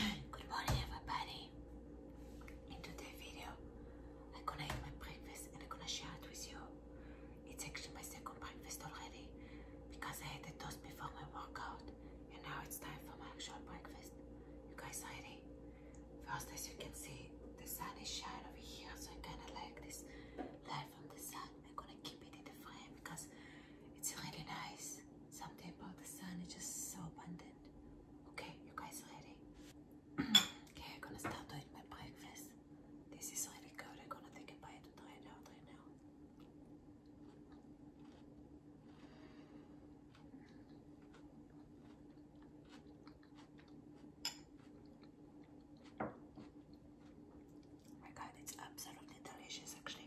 Good morning everybody. In today's video, I'm gonna eat my breakfast and I'm gonna share it with you. It's actually my second breakfast already because I had the toast before my workout and now it's time for my actual breakfast. You guys ready? First, as you can see, the sun is shining over here, so I kinda like this light from the sun. I'm gonna keep it in the frame because it's really nice. Something about the sun is just so abundant. Okay, you guys ready? okay, I'm gonna start doing my breakfast. This is really good. I'm gonna take a bite to try it out right now. my god, it's absolutely delicious actually.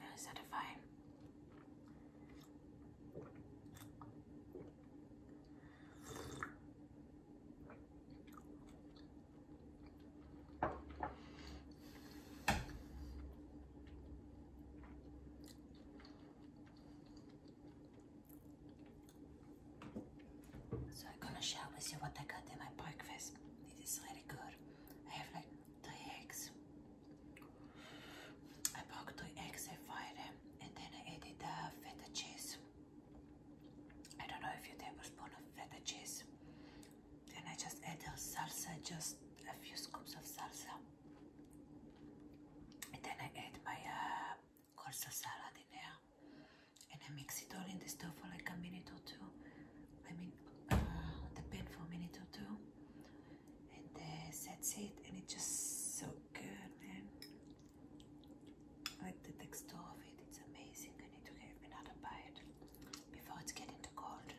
Really satisfying. So I'm gonna share with you what I got in my breakfast. This is really good. I have like two eggs. I broke two eggs, I fried and then I added the uh, feta cheese. I don't know if you tablespoon of feta cheese. And I just added salsa, just a few scoops of salsa. And then I add my uh, coleslaw salad in there. And I mix it all in the stove for like a minute or two. I mean, uh, the pan for a minute or two and that's it and it's just so good man like the texture of it it's amazing I need to have another bite before it's getting too cold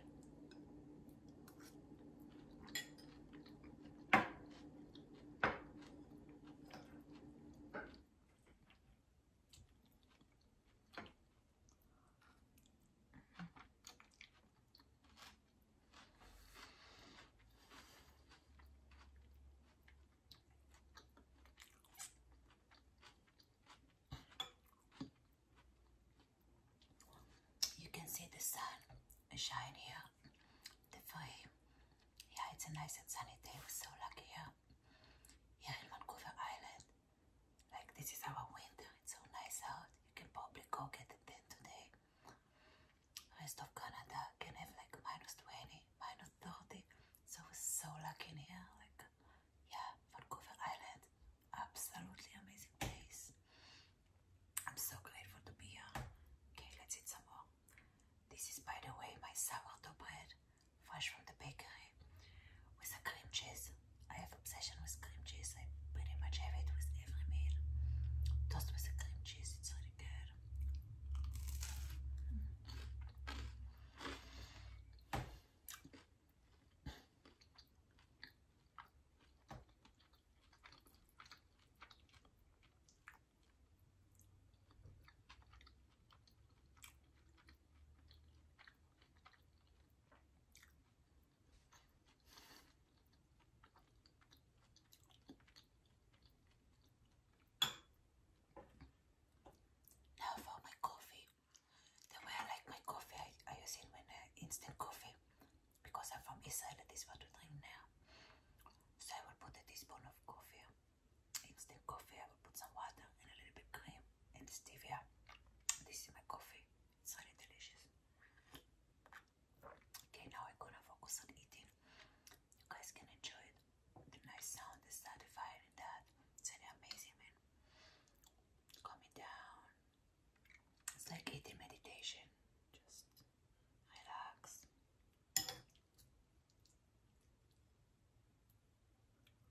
you can see the sun shine here. The flame. Yeah, it's a nice and sunny day. We're so lucky here. Here in Vancouver Island. Like this is our winter. It's so nice out. You can probably go get a 10 today. Rest of Canada can have like minus 20, minus 30. So we're so lucky here. Like, yeah, Vancouver Island, absolutely amazing place. I'm so grateful to be here. Okay, let's eat some more. This is, by the way, my sourdough bread, fresh from the bakery, with a cream cheese. I have obsession with cream cheese. I pretty much have it with every meal. Toast with the cream cheese, it's really good. Now for my coffee. The way I like my coffee, I, I use it when uh, instant coffee because I'm from Israel and this what we drink now. So I will put a teaspoon of coffee, instant coffee. I will put some water and a little bit cream and stevia. This is my coffee. It's delicious. Okay, now I'm gonna focus on eating. You guys can enjoy it. The nice sound is satisfying that. It's really amazing, man. Coming down. It's like eating meditation. Just relax.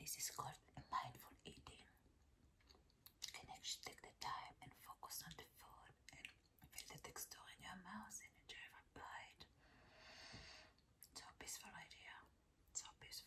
This is called mindful eating. You can actually take the time and focus on the food and feel the texture in your mouth and enjoy every bite. So peaceful idea. It's so peaceful.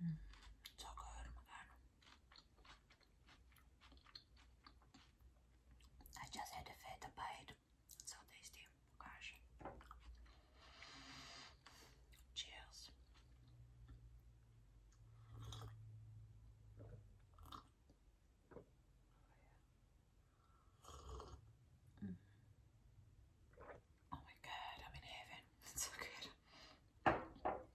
Mm, so good, my god. I just had a feta bite. so tasty. Gosh. Cheers. Oh my god, I'm in heaven. so good.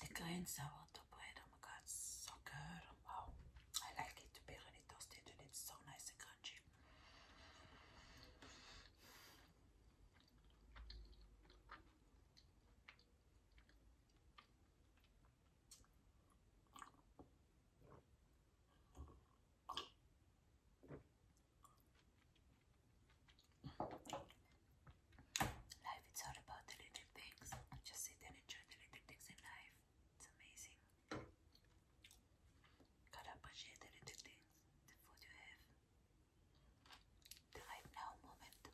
The green sourdough bread, oh my god, so good. Wow, I like it to be really toasted and it's so nice and crunchy. Life, it's all about the little things. Just sit and enjoy the little things in life. It's amazing. Gotta appreciate the little things, the food you have, the right now moment.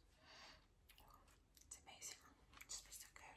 It's amazing. It's just so good.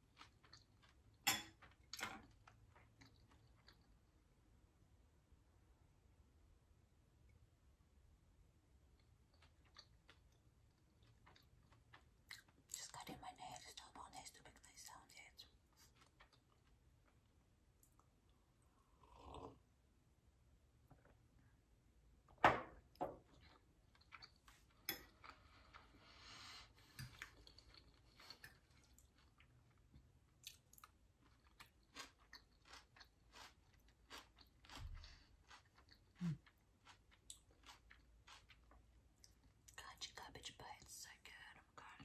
Just cutting my nails, not more nice to make sound yet. Mm. you your cabbage bites so good. Oh my god.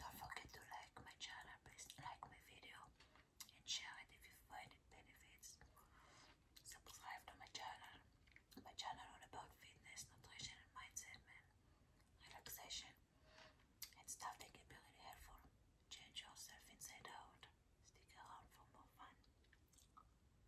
Don't forget to like my channel, please like my video and share it if you find it benefits. Subscribe to my channel. My channel all about fitness, nutrition mindset man. Relaxation and stuff that can be really helpful. Change yourself inside out. Stick around for more fun.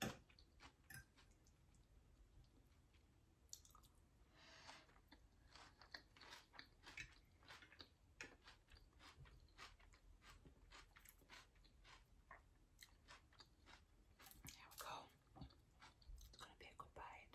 There we go. It's going to be a good bite.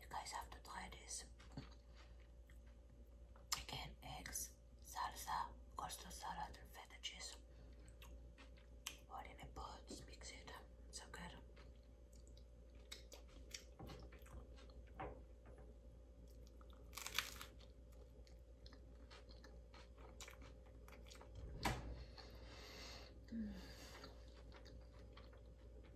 You guys have to try this. Again, eggs, salsa, coleslaw salad, and feta cheese. Put in a pot, mix it. So good.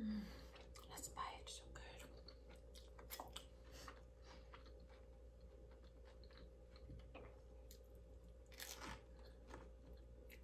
Mm, that's why so good.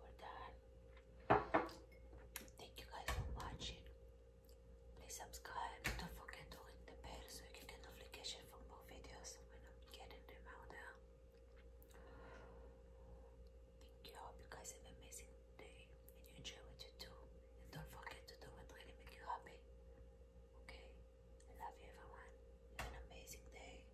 we're done. Thank you guys for watching. Please subscribe. Don't forget to ring the bell so you get notification for more videos I'm getting them out now. Thank you. hope you guys have an amazing day and you enjoy what you do. And don't forget to do what really makes you happy. Okay? I love you everyone. Have an amazing day.